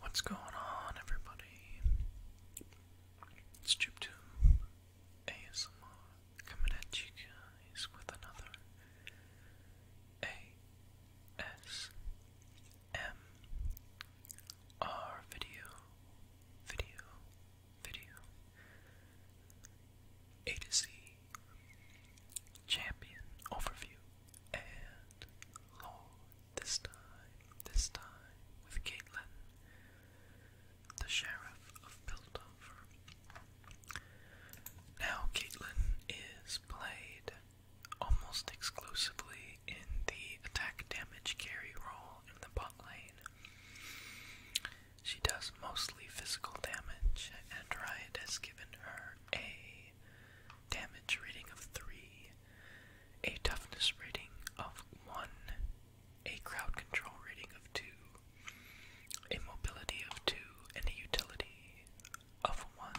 What's going on, everybody? It's JubeTube ASMR coming at you guys with another ASMR video. Video, video. A to Z champion overview and Lord this time, this time with Caitlin, the sheriff of Piltover. Now Caitlin is played almost exclusively in the attack damage carry role in the bot lane. She does mostly physical damage, and Riot has given her a damage rating of 3, a toughness rating of 1, a crowd control rating of 2, a mobility of 2, and a utility of 1.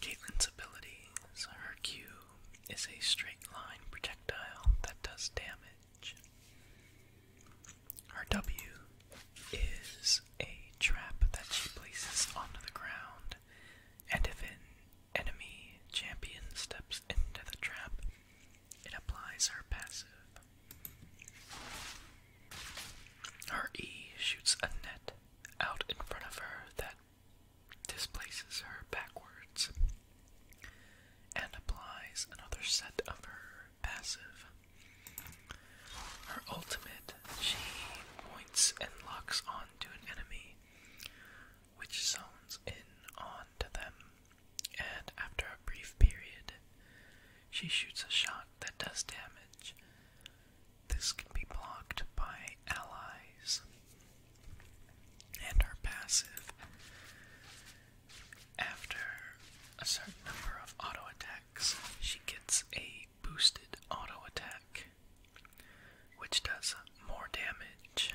Caitlin's abilities, her Q is a straight line projectile that does damage. Her W is a trap that she places onto the ground, and if an enemy champion steps into the trap, it applies her passive. Her E shoots a net out in front of her that displaces her backwards and applies another set of her passive. Her ultimate, she points and locks onto an enemy, which zones in onto them, and after a brief period, she shoots a shot that does damage. This can be blocked by allies and are passive. After a certain number of auto attacks, she gets a boosted auto attack, which does more damage.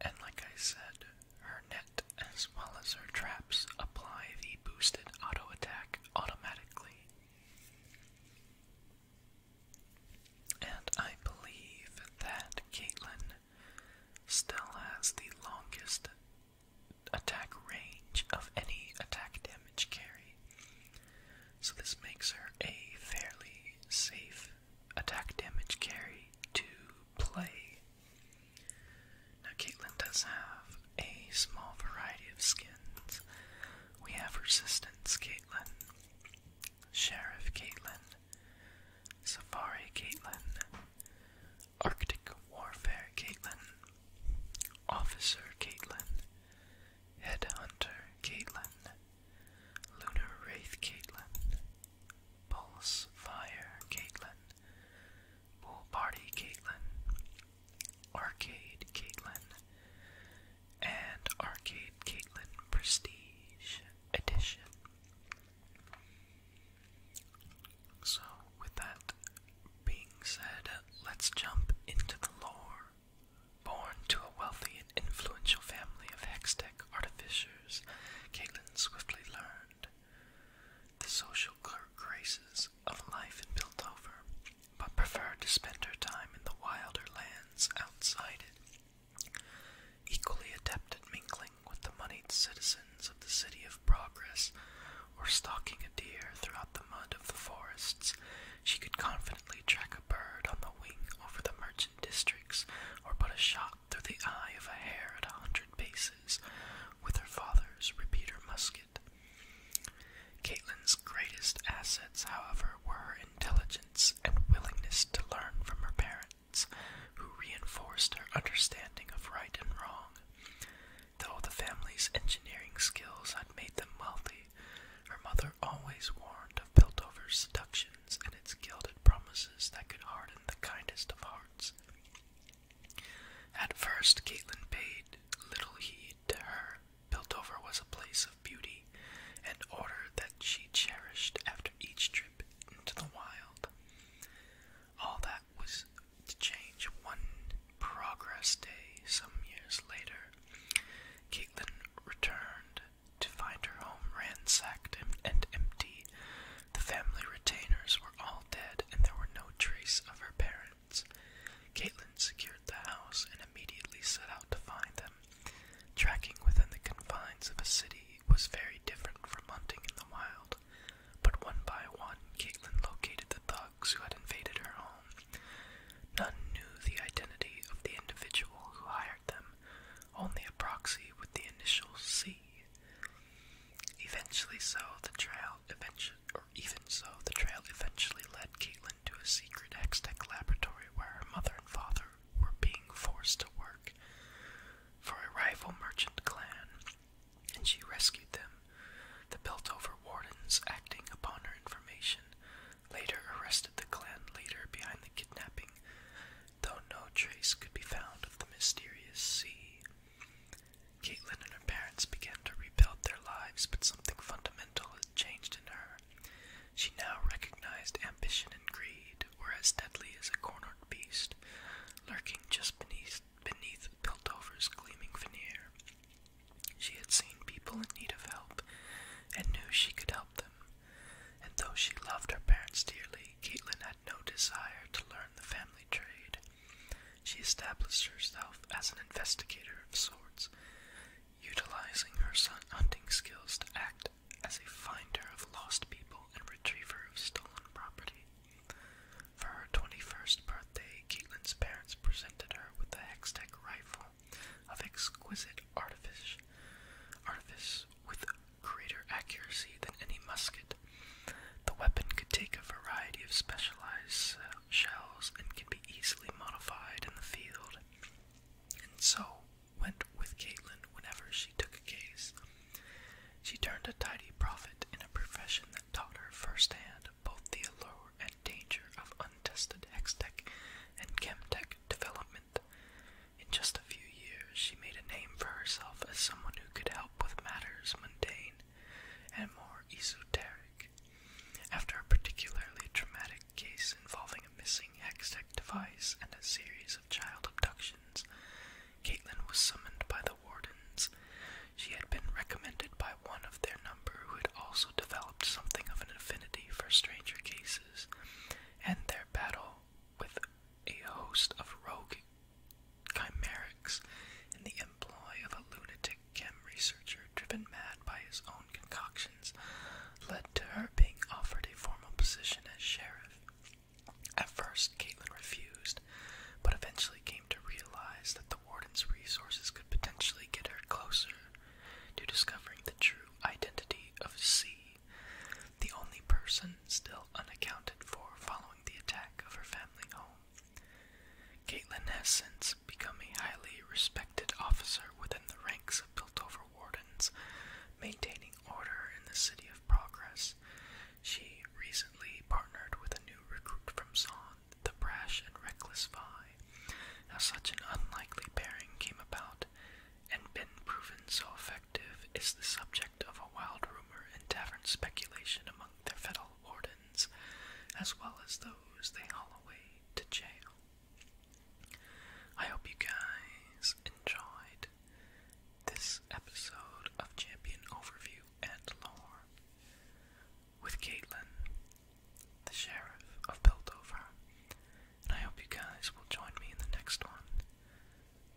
And like I said, her net as well as her traps apply the boosted auto attack automatically. And I believe that Caitlyn still has the longest attack range of any attack damage carry. So this makes her a fairly safe attack damage carry to play. Now Caitlyn does have a small variety of skins. We have Resistance Caitlyn, Sheriff Caitlin, Safari Caitlin, Arctic Warfare Caitlin, Officer Caitlin, Headhunter Caitlin, Lunar Wraith Caitlin, Pulse Caitlin, Pool Party Caitlin, Arcade Caitlin, and Arcade Caitlyn Prestige Edition. So, with that being said, let's jump into the lore. Born to a wealthy and influential family of Hextech artificers, Caitlin swiftly learned the social graces of life in Piltover, but preferred to spend her time in the wilder lands outside it, equally adept at mingling with the moneyed citizens of the City of Progress, or stalking a deer throughout the mud of the forests, she could confidently track a bird on the wing over the merchant districts, or put a shot through the eye of a hare at a hundred paces with her father's repeater musket. Caitlin's greatest assets, however, were intelligence and willingness to learn from her parents, who reinforced her understanding of right and wrong. Though the family's engineering skills had made them wealthy, her mother always warned of Piltover's seductions and its gilded promises that could harden the kindest of hearts. At first, Caitlin paid little heed to her Piltover was a place of beauty and order that she cherished after each trip into the wild. All that was to change one progress day some years later. Caitlin returned to find her home ransacked and empty. The family retainers were all dead, and there were no trace of her parents. Caitlin secured the house and immediately set out to find them. Tracking within the confines of a city was very different from hunting in the wild, but one by one, Caitlin located the thugs who had invaded her home. None knew the identity of the individual who hired them, only a proxy with the initial C. Eventually, so the trail eventually, or even so, the trail eventually led Caitlin to a secret Hextech laboratory where her mother and father were being forced to work for a rival merchant clan, and she rescued them. The built over wardens, acting upon her information, later arrested the clan leader behind the kidnapping, though no trace could be found of the mysterious sea. Caitlin and her parents began to rebuild their lives, but something fundamental is changed in her. She now recognized ambition and greed were as deadly as a cornered beast, lurking just beneath beneath Piltover's gleaming veneer. She had seen people in need of help and knew she could help them. And though she loved her parents dearly, Caitlin had no desire to learn the family trade. She established herself as an investigator of sorts, utilizing her son hunting skills to act as a finder of lost people and retriever of stolen property. For her 21st birthday, Caitlin's parents presented her with a Hextech rifle of exquisite artifice, artifice with greater accuracy than any musket. The weapon could take a variety of specialized shells and can be easily modified in the field and so went with Caitlin whenever she took a case. She turned a tidy profit in a profession that taught her firsthand both the allure and danger of untested hex tech and chem tech development. In just a few years, she made a name for herself as someone who could help with matters mundane and more esoteric. After a particularly traumatic case involving a missing using Hextech device and a series of child abductions, Caitlin was summoned by the wardens. She had been recommended by one of their number who had also developed something of an affinity for stranger cases, and their battle with a host of rogue chimerics in the employ of a lunatic chem researcher driven mad by his own concoctions led to her being offered a formal position as sheriff. At first, Caitlin refused, but eventually came to realize that the warden's resources could potentially get her closer to discovering the true identity of C, the only person still unaccounted for following the attack of her family home. Caitlin has since become a highly respected officer within the ranks of Piltover wardens, maintaining order in the City of Progress. She recently partnered with a new recruit from Son, the brash and reckless Vi. How such an unlikely pairing came about and been proven so effective is the subject of a wild rumor and tavern speculation among their federal wardens, as well as those they haul away to jail. I hope you guys enjoyed this episode of Champion Overview and Lore with Caitlin, the Sheriff of Piltover. And I hope you guys will join me in the next one.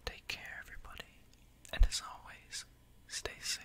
Take care, everybody, and as always, stay safe.